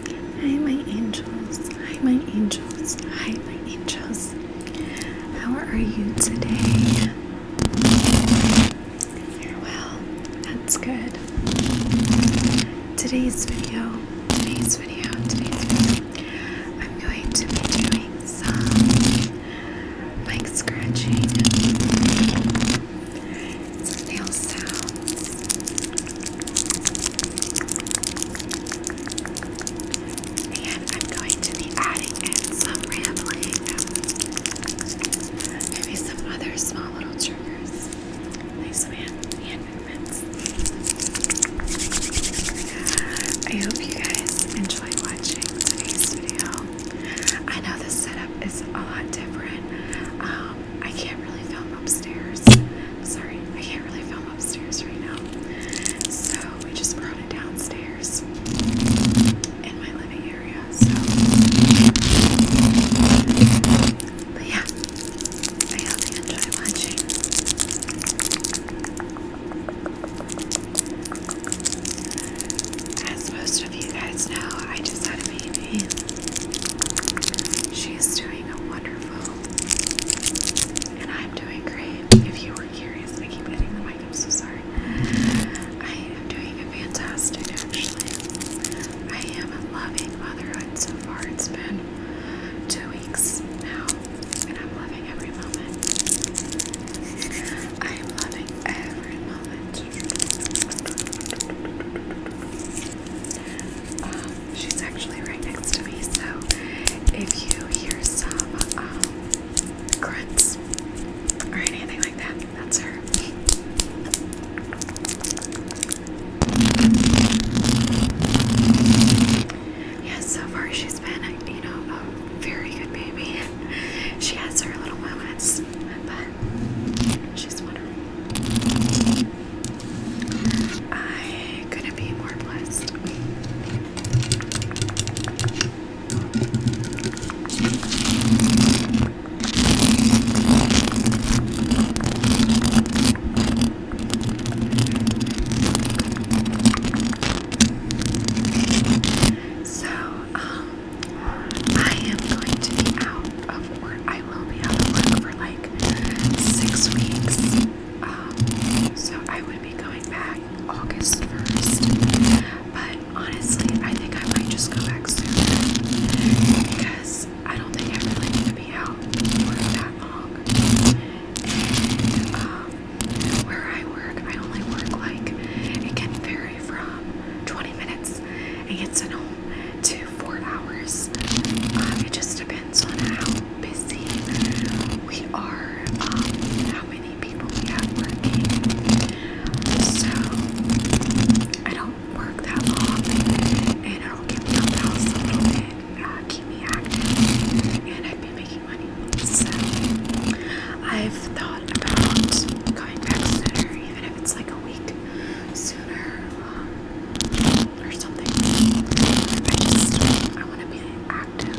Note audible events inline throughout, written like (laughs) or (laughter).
Hi, my angels. Hi, my angels. Hi, my angels. How are you today? You're well. That's good. Today's video, today's video, today's video, I'm going to be doing some mic scratching some nail sounds. And I'm going to be adding in some rambling, maybe some other small little triggers, like some hand, I hope you guys enjoy watching today's video. I know the setup is a lot different. Um, I can't really film upstairs. Sorry, I can't really film upstairs right now. So we just brought it downstairs in my living area. So, but yeah, I hope you enjoy watching. As most of you guys know, I just had a baby. She is doing a wonderful, and I'm doing great. If you were curious, I keep hitting the mic. I'm so sorry. I am doing fantastic, actually. I am loving motherhood so far. It's been two weeks now, and I'm loving every moment. I am loving every moment. Um, She's actually right next to me, so if you hear some um, grunts or anything like that, that's her. Yeah, so far she's been, you know, a very good baby. She has her little moments, but she's wonderful. I could be more blessed. So, um, I am going to be out of work. I will be out of work for like six weeks. Um, so I would be going back August 1st. But honestly, I think I might just go back soon because I don't think I really need to be out for that long. And um, where I work, I only work like it can vary from 20 minutes and gets an home to four hours. Um, it just depends on how busy we are, um, how many people we have working. So I don't work that long, and it'll give me a house a little bit, uh, keep me active, and I'd be making money. So I've thought about going back sooner, even if it's like a week. Um, or something. I just want to be active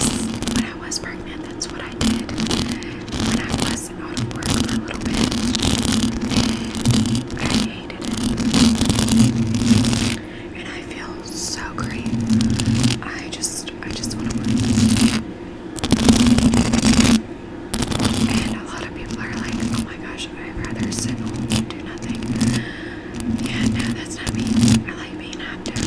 and when I was pregnant, that's what I did. When I was out of work a little bit, I hated it, and I feel so great. I just I just want to and a lot of people are like, oh my gosh, I'd rather sit and do nothing. Yeah, no, that's not me. I like being active.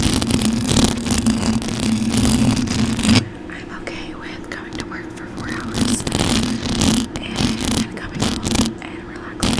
I'm okay with coming to work for four hours and coming home and relaxing.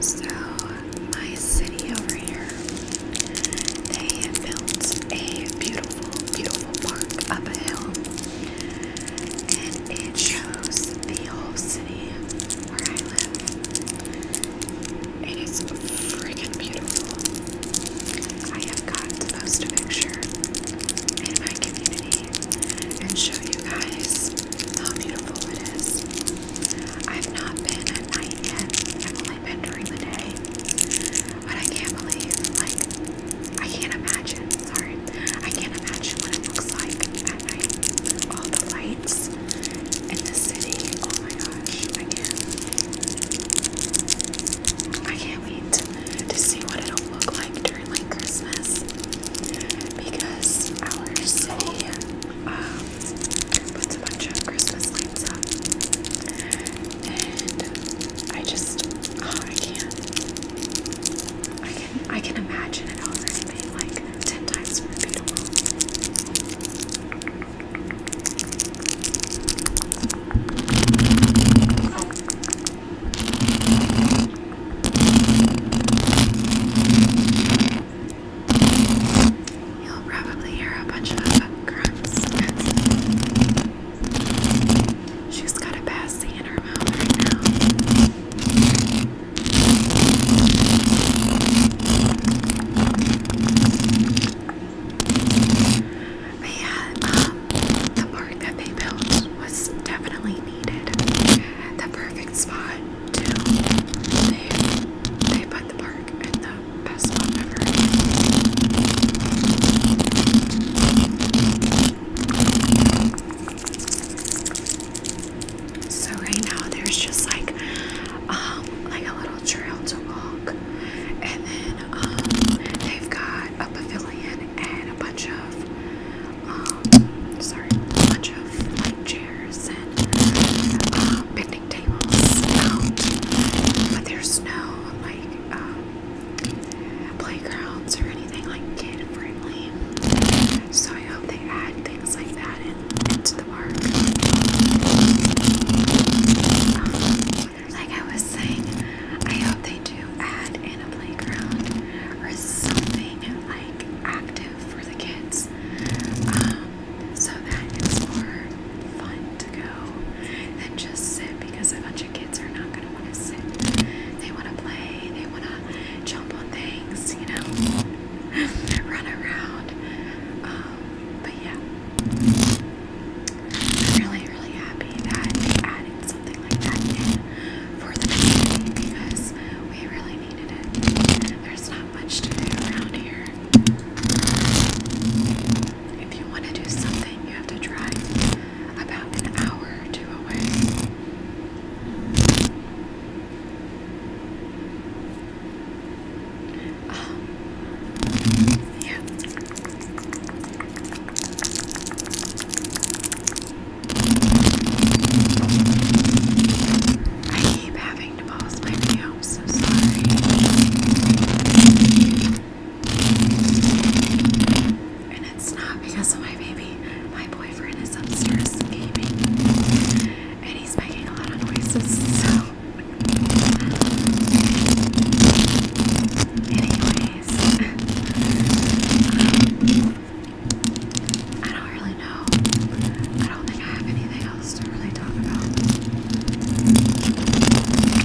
So, my city over here, they built a beautiful, beautiful park up a hill and it shows the whole city where I live. It is freaking beautiful. I have got to post a picture in my community and show you guys how beautiful it is. I've not been at night yet, I've only been during the day but I can't believe, like, I can't imagine, sorry, I can't imagine what it looks like at night. All the lights in the city, oh my gosh, I can't, I can't wait to see what it'll look like during, like, Christmas, because our city, um, puts a bunch of Christmas lights up, and I just, oh, I can't. I can I can imagine it already being like ten times more beautiful. You'll probably hear a bunch of uh, grunts. She's got a pasty in her mouth right now. But um, the park that they built was definitely needed. The perfect spot too. They they put the park in the best spot ever. So right now there's just like um like a little trail to walk and then um they've got a pavilion and a bunch of um sorry a bunch of like chairs and uh, picnic tables out um, but there's no like um playgrounds or anything like kid friendly. So I hope they add things like that into the park. like I was saying, I hope they do add in a playground or something like active for the kids. Um, so that it's more fun to go than just sit because a bunch kids are not going to want to sit. They want to play. They want to jump on things, you know, (laughs) run around. Um, but yeah, I'm really, really happy that they added something like that in for the community because we really needed it. There's not much to do around here. If you want to do something, you have to drive about an hour or two away. Um, yeah. I keep having to pause my video. I'm so sorry. And it's not because of my baby. My boyfriend is upstairs gaming. And he's making a lot of noises, so. Anyways. I don't really know. I don't think I have anything else to really talk about. I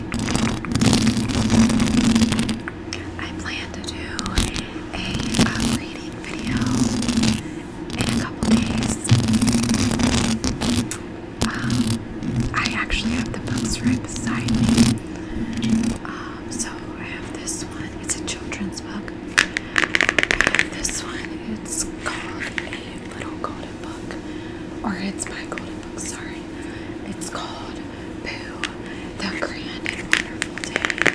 plan to do a uh, video in a couple days. Um, I actually have the books right beside me. Um, so I have this one. It's a children's book. this one. It's called a little golden book, or it's my golden book. Sorry, it's called Pooh, the grand and wonderful day.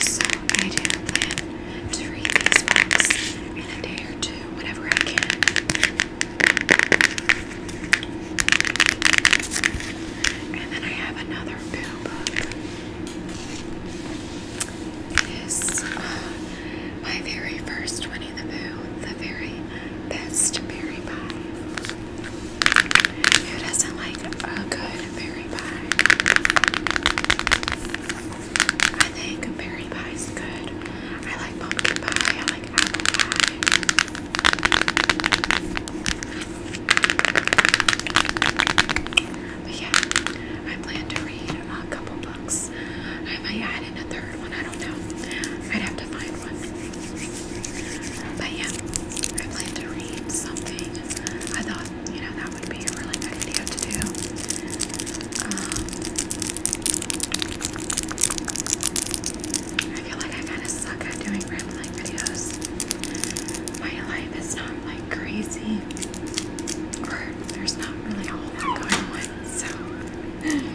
So I do plan to read these books in a day or two, whenever I can. And then I have another book. It is uh, my very first Winnie the Pooh, the very best berry pie. Who doesn't like a good berry pie? I think berry pie is good. I like pumpkin pie, I like apple pie. But yeah, I plan to read a couple I might add in a third one, I don't know. I'd have to find one. But yeah, I plan to read something. I thought, you know, that would be a really good video to do. Um, I feel like I kind of suck at doing rambling videos. My life is not like crazy, or there's not really a whole going on, so.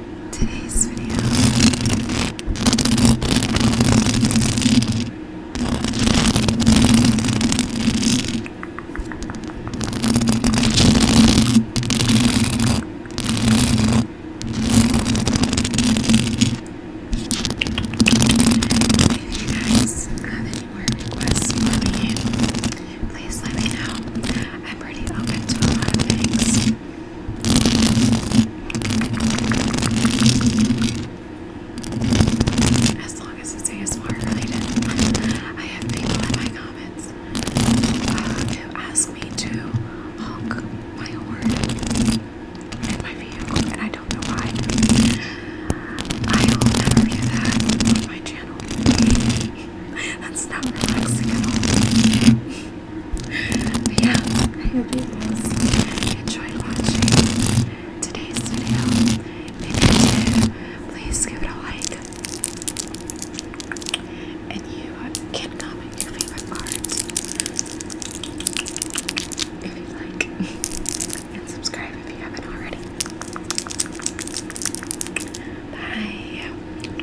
today's video. If you guys have any more requests please let me know. I'm pretty open to a things. As long as it's ASMR related, (laughs) I have people in my comments who uh, ask me to honk my horn in my vehicle, and I don't know why. I will never do that on my channel. (laughs) That's not relaxing at all. (laughs) yeah, I hope you guys enjoyed watching today's video. If you did, please give it a like. And you can comment your favorite cards if you like. (laughs) and subscribe if you haven't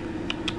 already. Bye.